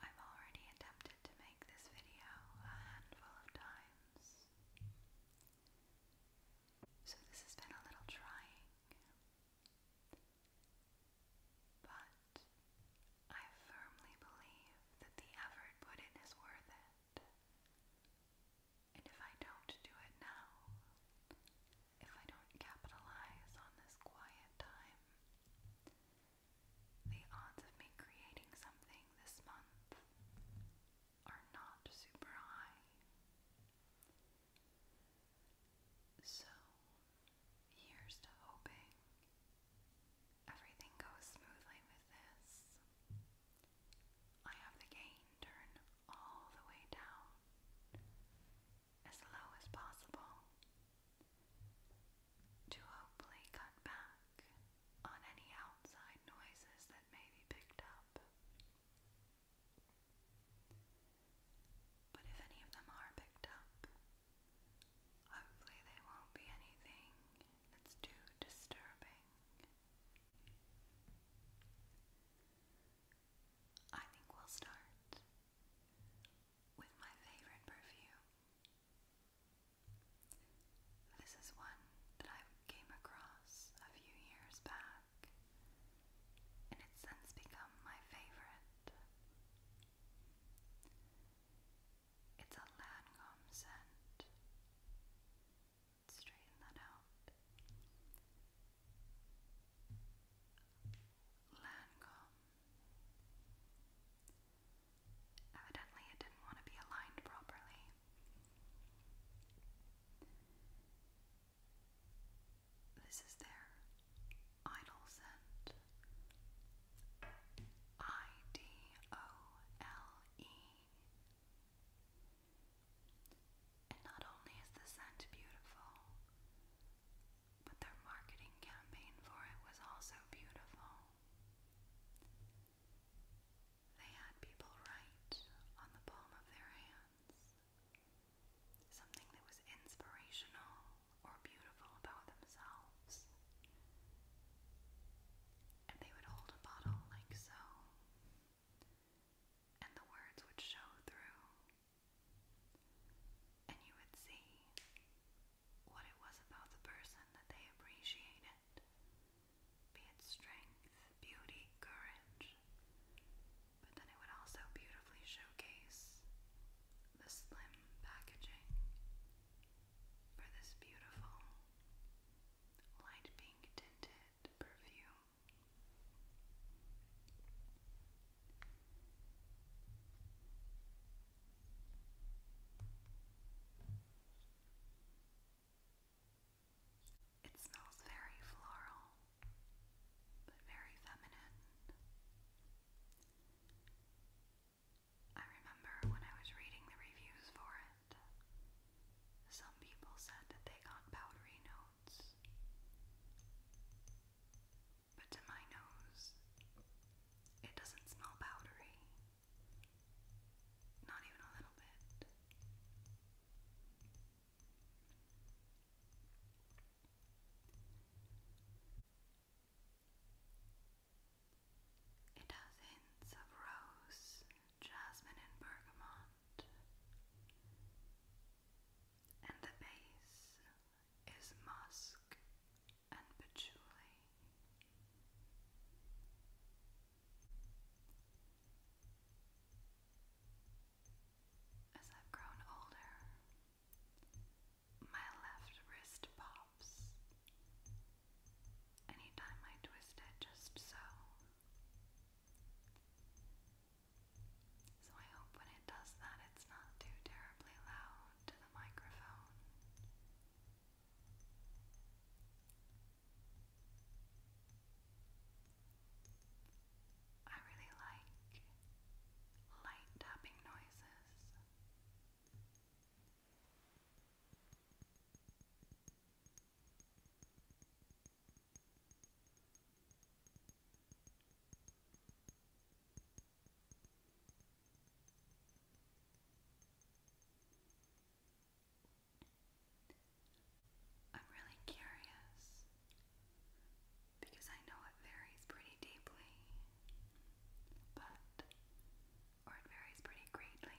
I've already attempted to make this video a handful of times, so this has been a little trying, but I firmly believe that the effort put in is worth it. And if I don't do it now, if I don't capitalize on this quiet time, the odds of me creating something this month are not super high. So, here's to hoping everything goes smoothly with this. I have the gain turned all the way down as low as possible to hopefully cut back on any outside noises that may be picked up. But if any of them are picked up, hopefully they won't be anything that's too disturbing. I think we'll start with my favorite perfume. This is one that I came across a few years back, and it's since become my favorite. It's a Lancome scent. Straighten that out. Lancome. Evidently, it didn't want to be aligned properly. This is their idol scent. I D O L E. And not only is the scent beautiful, but their marketing campaign for it was also beautiful. They had people write on the palm of their hands something that was inspirational or beautiful about themselves. And they would hold a bottle like so and the words would show through, and you would see what it was about the person that they appreciated be it strength, beauty, courage. But then it would also beautifully showcase the slim packaging for this beautiful light pink tinted perfume. It smells very floral, but very feminine. I remember when I was reading the reviews for it, some people said that they got powdery nose thoughts. But to my nose, it doesn't smell powdery. Not even a little bit. It has hints of rose, jasmine, and bergamot and the base is musk and patchouli. As I've grown older, my left wrist pops anytime I twist it just so. So I hope when it does that it's not too terribly loud to the microphone. I really like light tapping noises. I'm really curious because I know it varies pretty deeply, but, or it varies pretty greatly,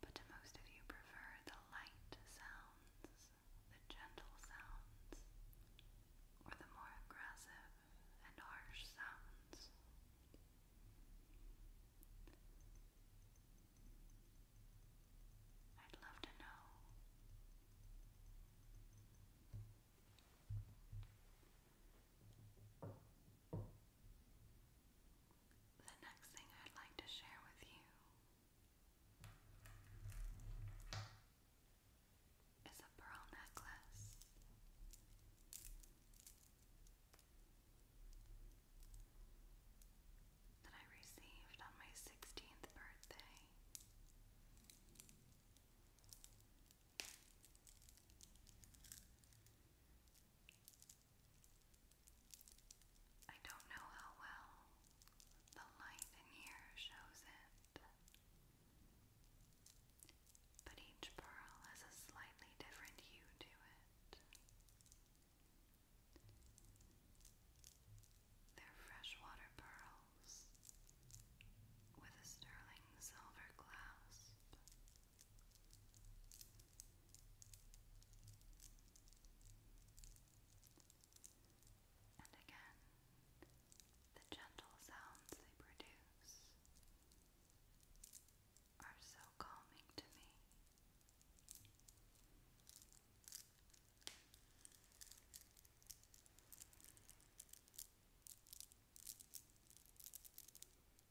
but to most of you prefer the light sounds, the gentle sounds, or the more aggressive and harsh sounds. I'd love to know the next thing I'd like to share with you is a pearl necklace. That I received on my 16th birthday. I don't know how well the light in here shows it, but each pearl has a slightly different hue to it. They're freshwater pearls with a sterling silver clasp. And again, the gentle sounds they produce are so calming to me. I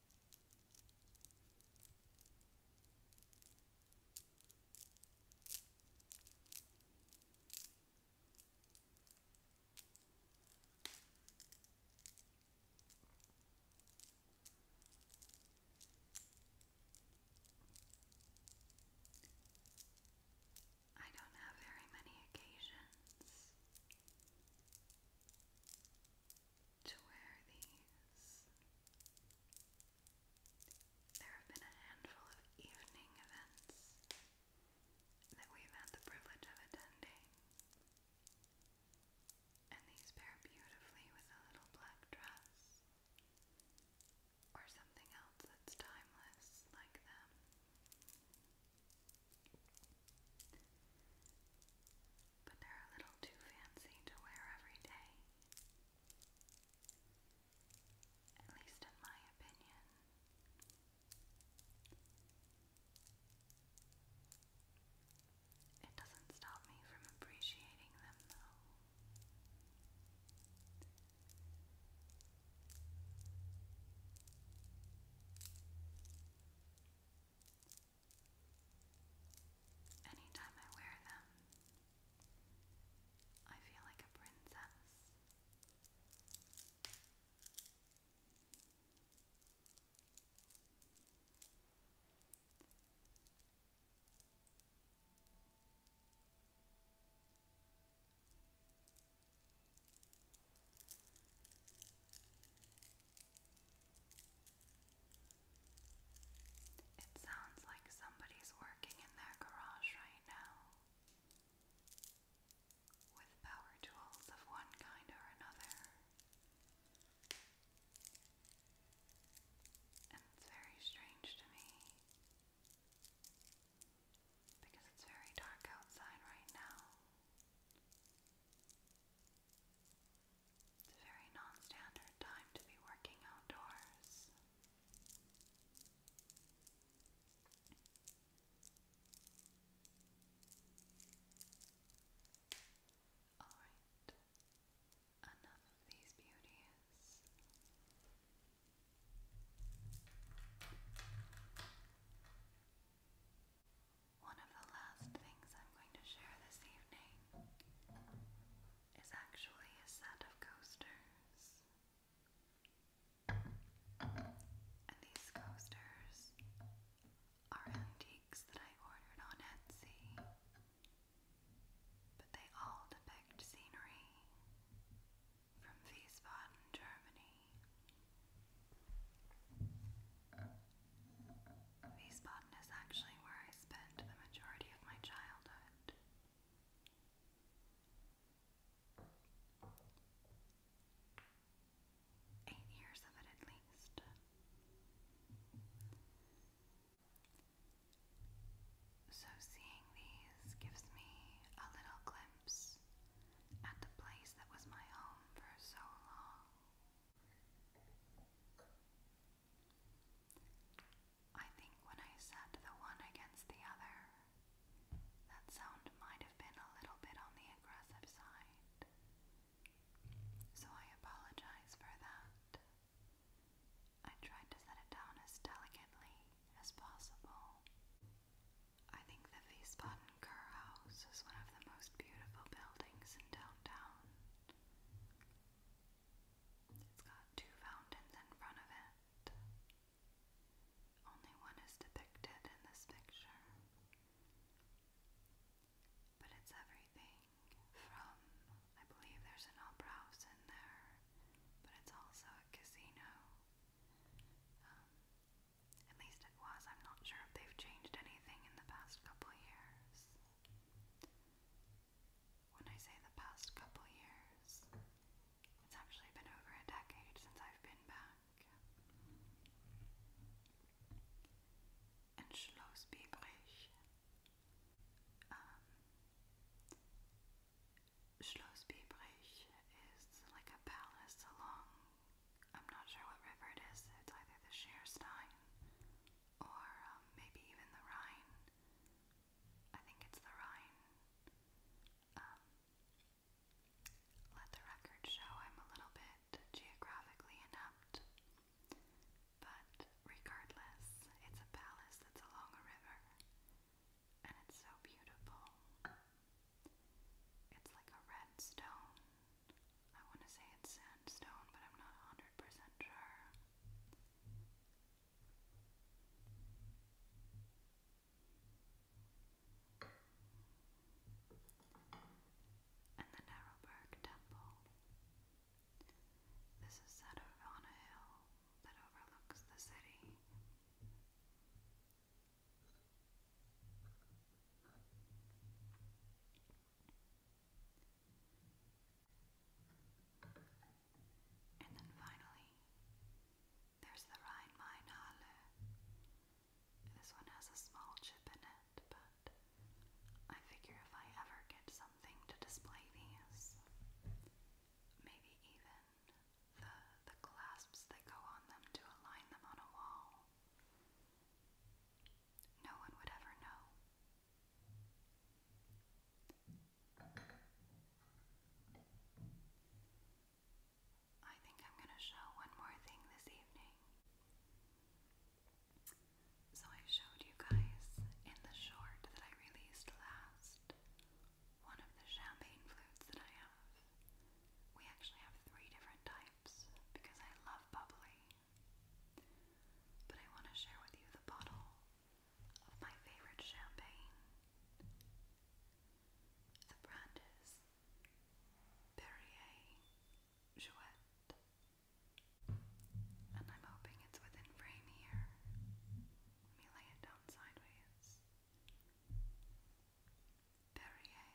don't have very many occasions to wear these. There have been a handful of evening events that we've had the privilege of attending, and these pair beautifully with a little black dress or something else that's timeless like them but they're a little too fancy to wear every day. At least in my opinion. It doesn't stop me from appreciating them though. Anytime I wear them, I feel like a princess. It sounds like somebody's working in their garage right now with power tools of one kind or another. And it's very strange to me because it's very dark outside right now. It's a very non-standard time to be working outdoors. Alright, enough of these beauties. One of the last things I'm going to share this evening is actually a set of coasters. And these coasters are antiques that I ordered on Etsy, but they all depict scenery from Wiesbaden, Germany. These Botton is actually where I spent the majority of my childhood. Eight years of it at least. So, seeing these gives me a little glimpse house, at the place that was my home for so long. I think when I set the one against the other, that sound might have been a little bit on the aggressive side. So I apologize for that. I tried to set it down as delicately as possible. I think the Wiesbaden Kerr House is one of the most beautiful buildings in downtown. It's got two fountains in front of it. Only one is depicted in this picture. But it's everything from, I believe there's an opera house in there, but it's also a casino. Um, at least it was. I'm not sure if they've changed anything in the past couple years. When I say the past couple years, it's actually been over a decade since I've been back. And Um, Schloss is like a palace along I'm not sure what river it is. It's either the Scherstein or um, maybe even the Rhine. I think it's the Rhine. Um, let the record show I'm a little bit geographically inept, but regardless, it's a palace that's along a river, and it's so beautiful. It's like a red stone. I want to say it's sandstone, but I'm not 100% sure. And the Narrowburg Temple. This is set on a hill that overlooks the city. And then finally, there's the Rhein-Main-Halle. This one has a small chip in it, but I figure if I ever get something to display these, maybe even the, the clasps that go on them to align them on a wall. No one would ever know. I think I'm going to show one more thing this evening. So, I showed you guys in the short that I released last one of the champagne flutes that I have. We actually have three different types because I love bubbly. But I want to share with you the bottle of my favorite champagne. The brand is Perrier Jouet. And I'm hoping it's within frame here. Let me lay it down sideways. Perrier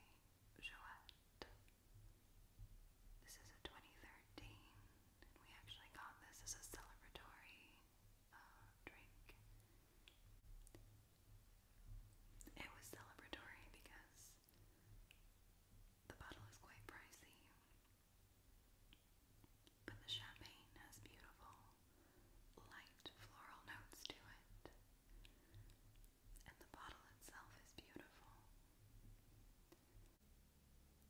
Jouette. This is a 2013, we actually got this as a celebratory uh, drink. It was celebratory because the bottle is quite pricey, but the champagne is beautiful light floral notes to it. And the bottle itself is beautiful.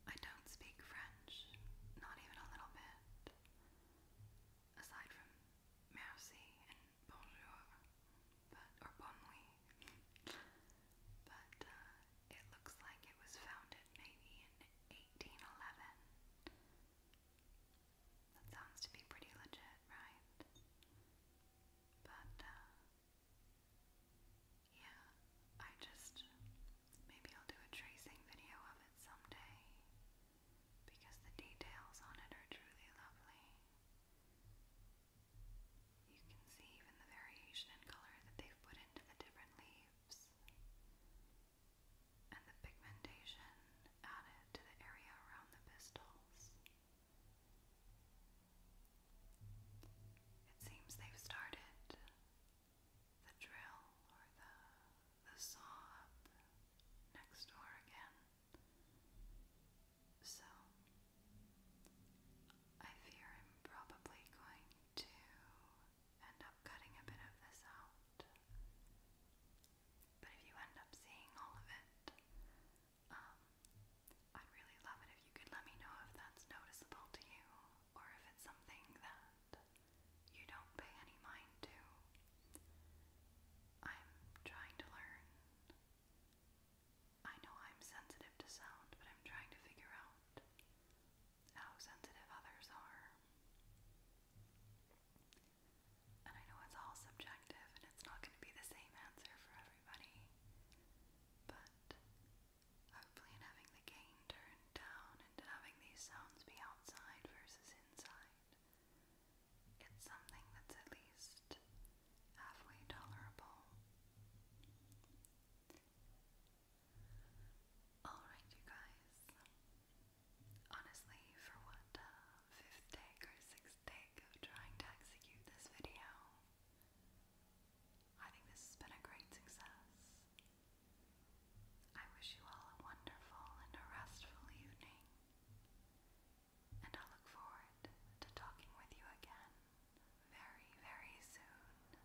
I don't speak French, not even a little bit, aside from merci and bonjour, but, or bon nuit. but uh, it looks like it was founded maybe in 1811 that sounds to be pretty legit, right? But, uh, yeah, I just, maybe I'll do a tracing video of it someday because the details on it are truly lovely. You can see even the variation in color that they've put into the different leaves and the pigmentation added to the area around the pistils. It seems they've started the drill or the, the saw up next door again. So I fear I'm probably going to end up cutting a bit of this out. But if you end up seeing all of it, um, I'd really love it if you could let me know if that's noticeable to you or if it's something that you don't pay any mind to. I'm trying to learn. I know I'm sensitive to sound, but I'm trying to figure out how sensitive others are. And I know it's all subjective and it's not going to be the same answer for everybody, but hopefully, in having the gain turned down and having these sounds be outside versus inside, it's something that's at least halfway tolerable. Alright, you guys. Honestly, for what uh, fifth take or sixth take of trying to execute this video, I think this has been a great success. I wish you all a wonderful and a restful evening, and I look forward to talking with you again very, very soon.